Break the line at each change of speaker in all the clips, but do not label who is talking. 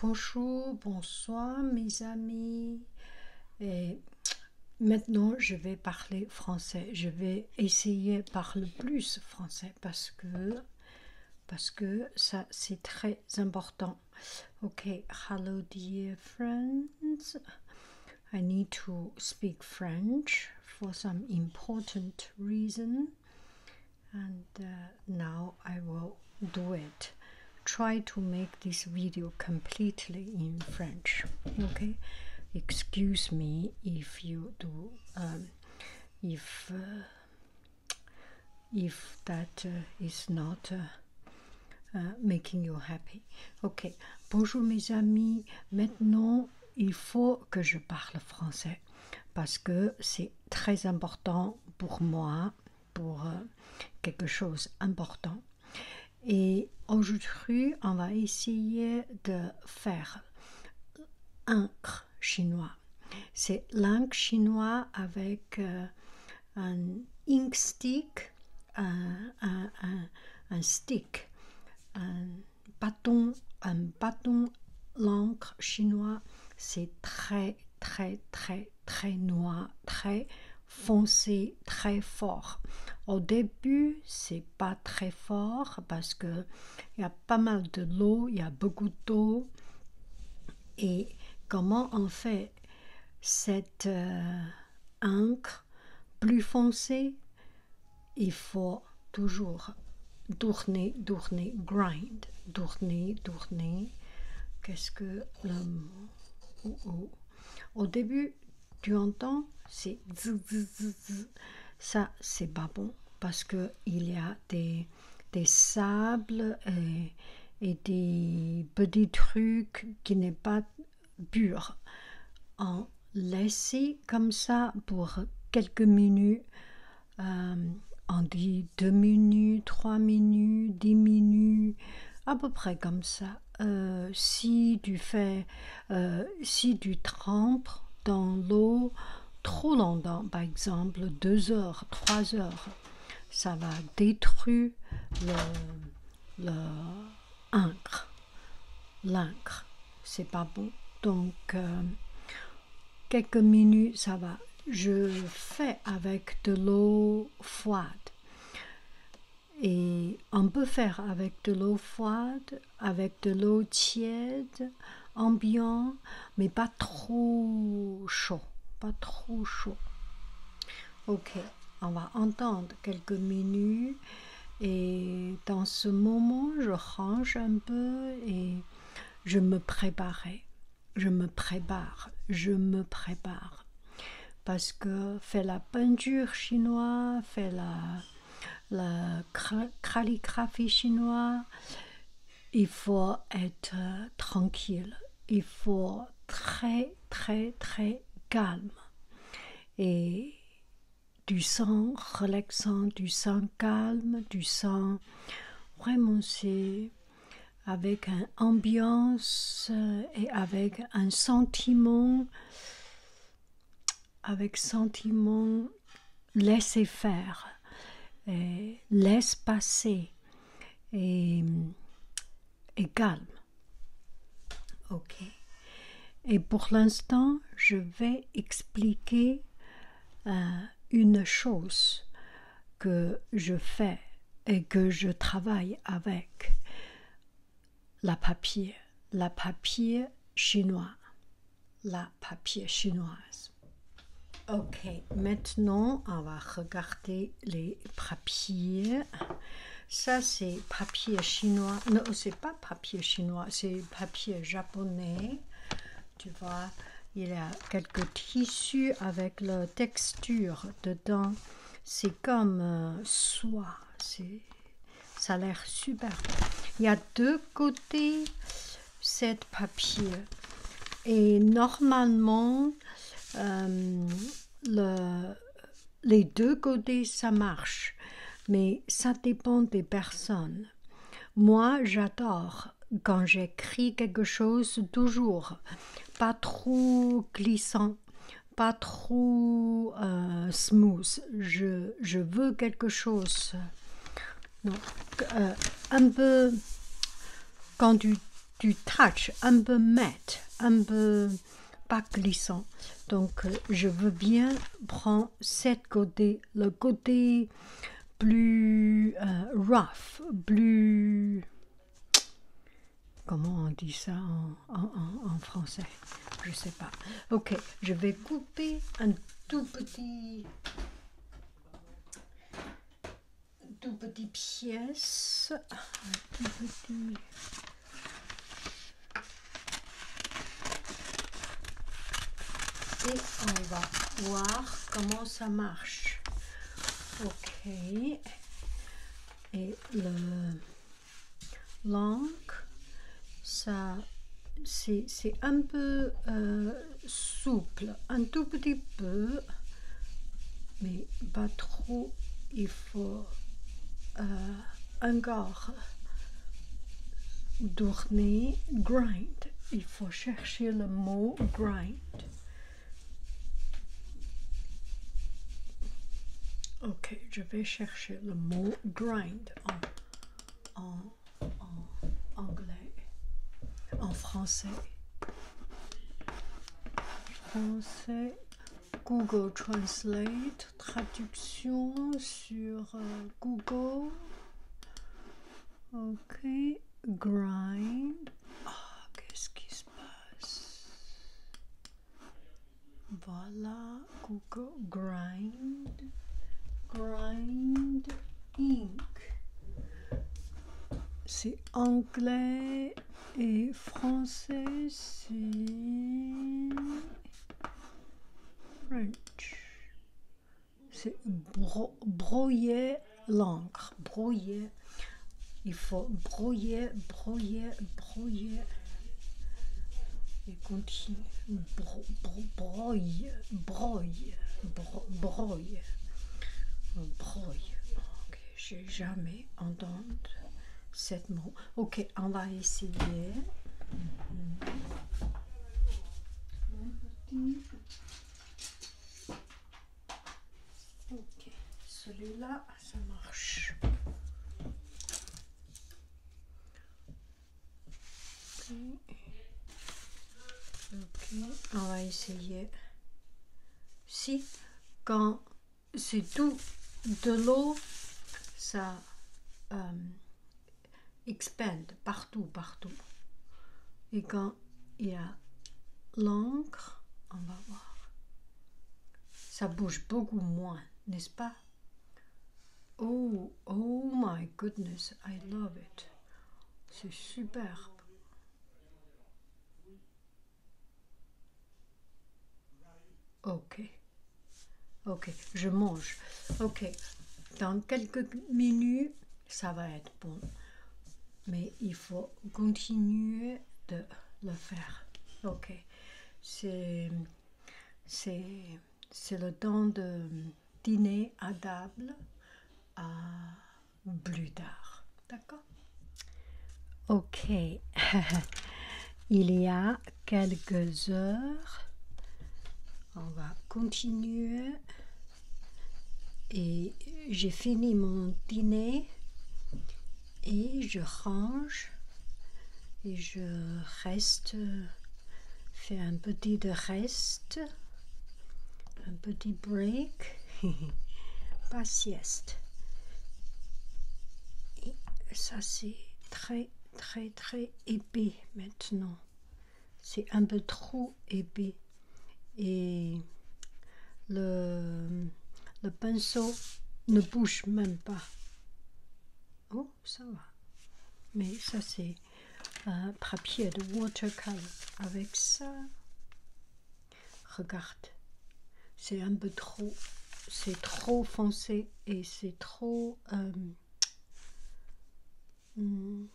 Bonjour, bonsoir mes amis. Et maintenant, je vais parler français. Je vais essayer de parler plus français parce que parce que ça c'est très important. OK, hello dear friends. I need to speak French for some important reason. and uh, now I will do it. Try to make this video completely in French. Okay, excuse me if you do um, if uh, if that uh, not. Uh, making you happy. Ok, bonjour mes amis. Maintenant, il faut que je parle français parce que c'est très important pour moi, pour euh, quelque chose d'important. Et aujourd'hui, on va essayer de faire encre chinois. C'est l'encre chinois avec euh, un ink stick, un, stick, un bâton, un bâton l'encre chinois. C'est très très, très, très, noir, très foncé, très fort. Au début, c'est pas très fort parce que il y a pas mal de l'eau, il y a beaucoup d'eau. Et comment on fait cette euh, encre plus foncée Il faut toujours Tourner, tourner, grind, tourner, tourner. Qu'est-ce que le oh, oh. Au début, tu entends, c'est ça, c'est pas bon parce que il y a des, des sables et, des petits trucs qui n'est pas pur. En laisser comme ça pour quelques minutes, euh, on dit deux minutes, trois minutes, 10 minutes, à peu près comme ça. Euh, si tu fais, euh, si tu trempes dans l'eau trop longtemps, par exemple deux heures, 3 heures, ça va détruire le, l'incre L'encre, c'est pas beau, Donc, quelques minutes, ça va. Je fais avec de l'eau froide. Et on peut faire avec de l'eau froide, avec de l'eau tiède, ambiant, mais pas trop chaud. Pas trop chaud. Ok, on va entendre quelques minutes. Et dans ce moment, je range un peu et je me préparais je me prépare, je me prépare. Parce que fait la peinture chinoise, fait la, la calligraphie chinoise, il faut être tranquille, il faut très très très calme et du sang relaxant, du sang calme, du sang vraiment, c'est avec une ambiance euh, et avec un sentiment, avec sentiment laisser faire, laisse passer et, et calme. Ok. Et pour l'instant, je vais expliquer euh, une chose que je fais et que je travaille avec la papier, la papier chinois, la papier chinoise. Ok, maintenant on va regarder les papiers. Ça c'est papier chinois. Non, c'est pas papier chinois, c'est papier japonais tu vois. Il y a quelques tissus avec la texture dedans. C'est comme euh, soie. soie. Ça a l'air superbe. Il y a deux côtés cette papier. Et normalement, euh, les deux côtés, ça marche. Mais ça dépend des personnes. Moi, j'adore quand j'écris quelque chose, toujours pas trop glissant, pas trop euh, smooth. Je, veux quelque chose. Euh, un peu, quand tu, tu touches, un peu mat, un peu pas glissant. Donc, euh, je veux bien prendre cette côté, le côté plus euh, rough, plus... Comment on dit ça en, français Je sais pas. Ok, je vais couper un tout petit... Tout petit pièce, Et on va voir comment ça marche. Ok. Et le langue, ça c'est un peu euh, souple, un tout petit peu, mais pas trop. Il faut euh, encore tourner, grind. Il faut chercher chercher le mot grind. Ok, je vais chercher le mot grind en, en, anglais, en français. Google Translate, traduction sur euh, Google. Ok grind. Ah, qu'est-ce qui se passe Voilà, Google grind, grind ink. C'est anglais et français, c'est French c'est broyer l'encre, broyer. Il faut broyer, broyer, broyer. Et continue. Bro, bro, brouille broye, Ok, j'ai jamais entendu cette mot. Ok, on va essayer celui-là, ah, ça marche. on va essayer. Si, quand c'est tout de l'eau, ça euh, expande partout, partout. Et quand il y a l'encre, on va voir. Ça bouge beaucoup moins, n'est-ce pas? Oh, oh my goodness, I love it. C'est superbe. Ok. Ok, je mange. Ok. Dans quelques minutes, ça va être bon. Mais il faut continuer de le faire. Ok. C'est le temps de dîner à table à plus tard. D'accord Ok. il y a quelques heures, on va continuer et j'ai fini mon dîner et je range et je reste fais un petit de reste un petit break pas sieste et ça c'est très très très épais maintenant c'est un peu trop épais et le, le pinceau ne bouge même pas. Oh, ça va. Mais ça, c'est un papier de watercolor. Avec ça, regarde, c'est un peu trop, c'est trop foncé et c'est trop, euh, Hmm.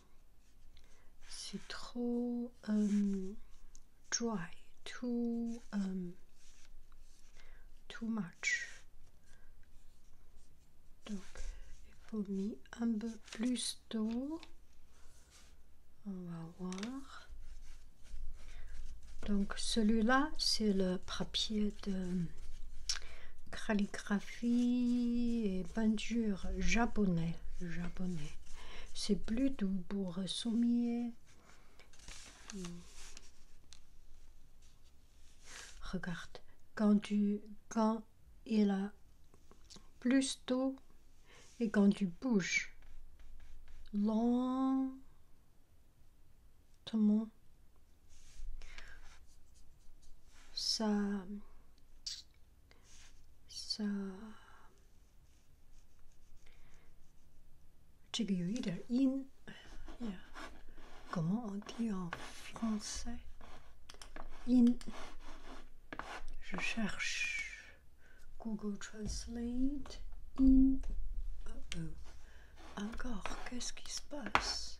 C'est trop um, dry, too, um, too much. Donc il faut mis un peu plus d'eau. On va voir. Donc celui-là, c'est le papier de calligraphie et peinture japonais. japonais. C'est plutôt pour sommier. Regarde, quand, tu, quand il a plus tôt et quand tu bouges lentement, ça ça, in. Yeah. Comment on dit en français In. Je cherche Google Translate. In. Oh -oh. Encore, qu'est-ce qui se passe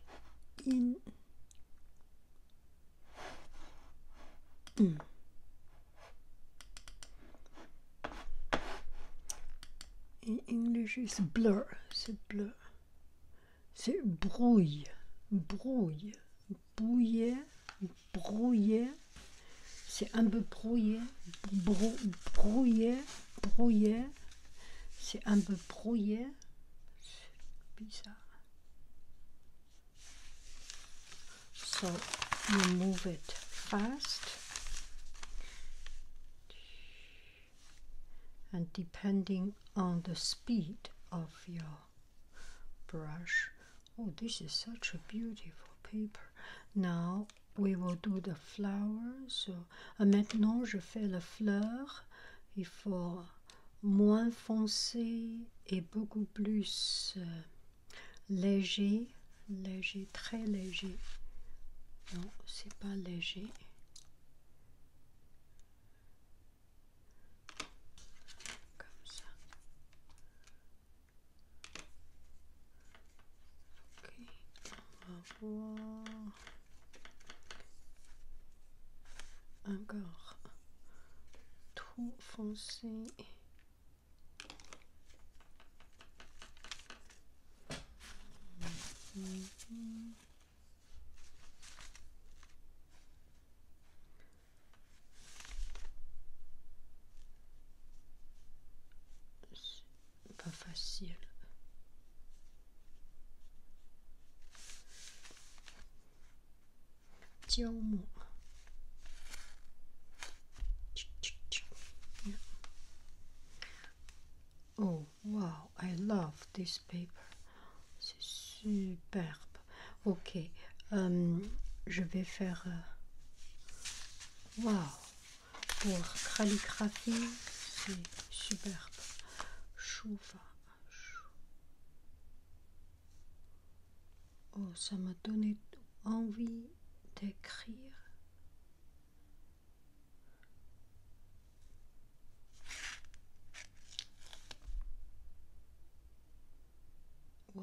Mm. in English blur c'est blur c'est brouille brouille brouiller », brouillé c'est un peu brouillé brou, brouillé brouillé So you move it fast. And depending on the speed of your brush. Oh, this is such a beautiful paper. Now we will do the flowers. Ah, maintenant je fais la fleur il faut moins foncé et beaucoup plus euh, léger léger très léger non c'est pas léger comme ça ok on va voir encore tout foncé pas facile. Tiens moi. Oh wow, I love this paper. C'est superbe. Ok, euh, je vais faire. Euh, wow, pour calligraphie, c'est superbe. Oh, ça m'a donné envie d'écrire. Oh,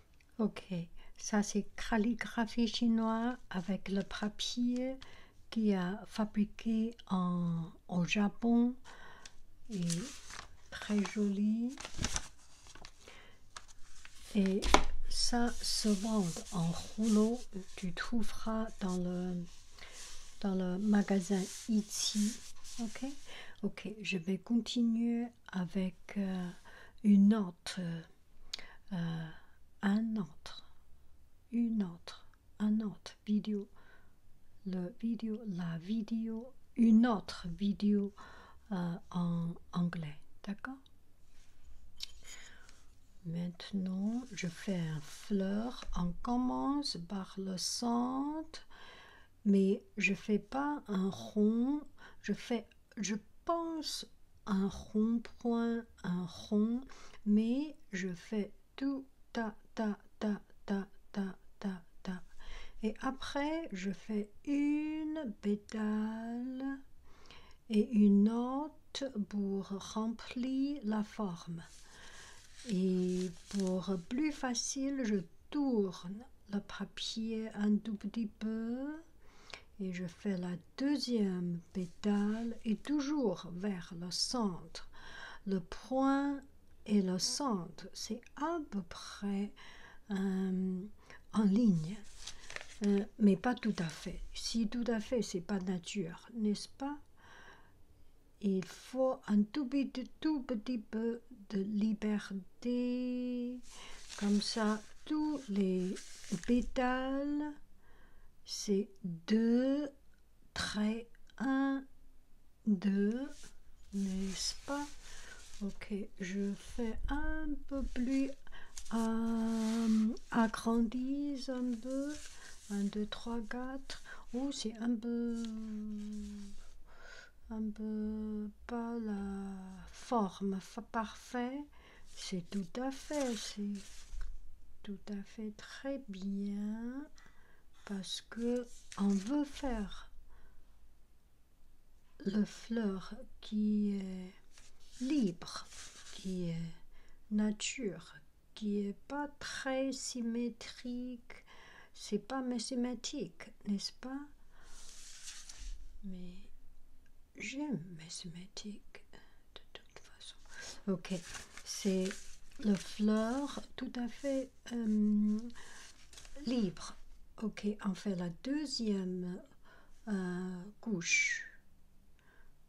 Ok, ça c'est calligraphie chinoise avec le papier qui a fabriqué en, au Japon et très joli. Et ça se vend en rouleau, tu trouveras dans le, dans le magasin ici Ok, ok, je vais continuer avec euh, une autre, euh, euh, un autre, une autre, un autre vidéo, le vidéo, la vidéo, une autre vidéo en anglais, d'accord Maintenant, je fais un fleur. On commence par le centre mais je fais pas un rond, je fais, je pense un rond-point, un rond, mais je fais tout ta ta ta ta ta ta ta. Et après, je fais une pétale et une note pour remplir la forme. Et pour plus facile, je tourne le papier un tout petit peu et je fais la deuxième pétale et toujours vers le centre le point et le centre c'est à peu près euh, en ligne euh, mais pas tout à fait si tout à fait c'est pas nature n'est ce pas il faut un tout petit, tout petit peu de liberté, comme ça, tous les pétales, c'est 2, très 1, 2, n'est-ce pas Ok, je fais un peu plus euh, agrandis un peu. 1, 2, 3, 4. ou c'est un peu un peu pas la forme parfaite. C'est tout à fait, c'est tout à fait très bien parce que on veut faire le fleur qui est libre, qui est nature, qui est pas très symétrique, c'est pas mathématique, n'est-ce pas Mais j'aime mathématiques de toute façon. Ok, c'est le fleur tout à fait euh, libre. Ok, on fait la deuxième euh, couche.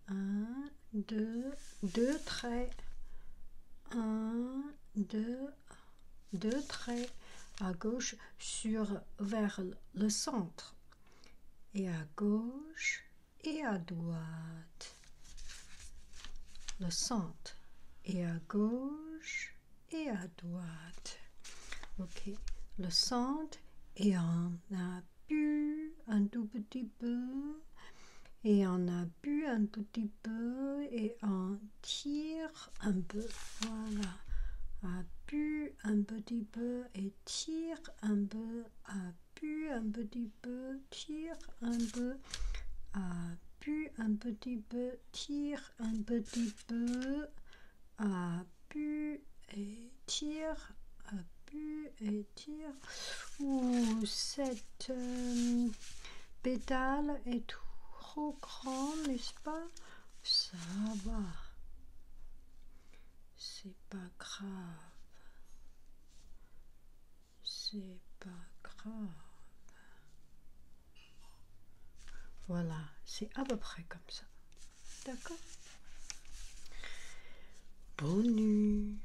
Un, deux, deux traits. Un, deux, deux traits à gauche sur vers le centre et à gauche et à droite le centre et à gauche et à droite ok le centre et on a bu un tout petit peu et on a bu un tout petit peu et on tire un peu, voilà, pu un petit peu et tire un peu, pu un petit peu, tire un peu, pu un petit peu, tire un petit peu, appuie et tire, appuie et tire. ou cette euh, pétale est trop grand, n'est-ce pas ça va. C'est pas grave. C'est pas grave. Voilà, c'est à peu près comme ça. D'accord Bonne nuit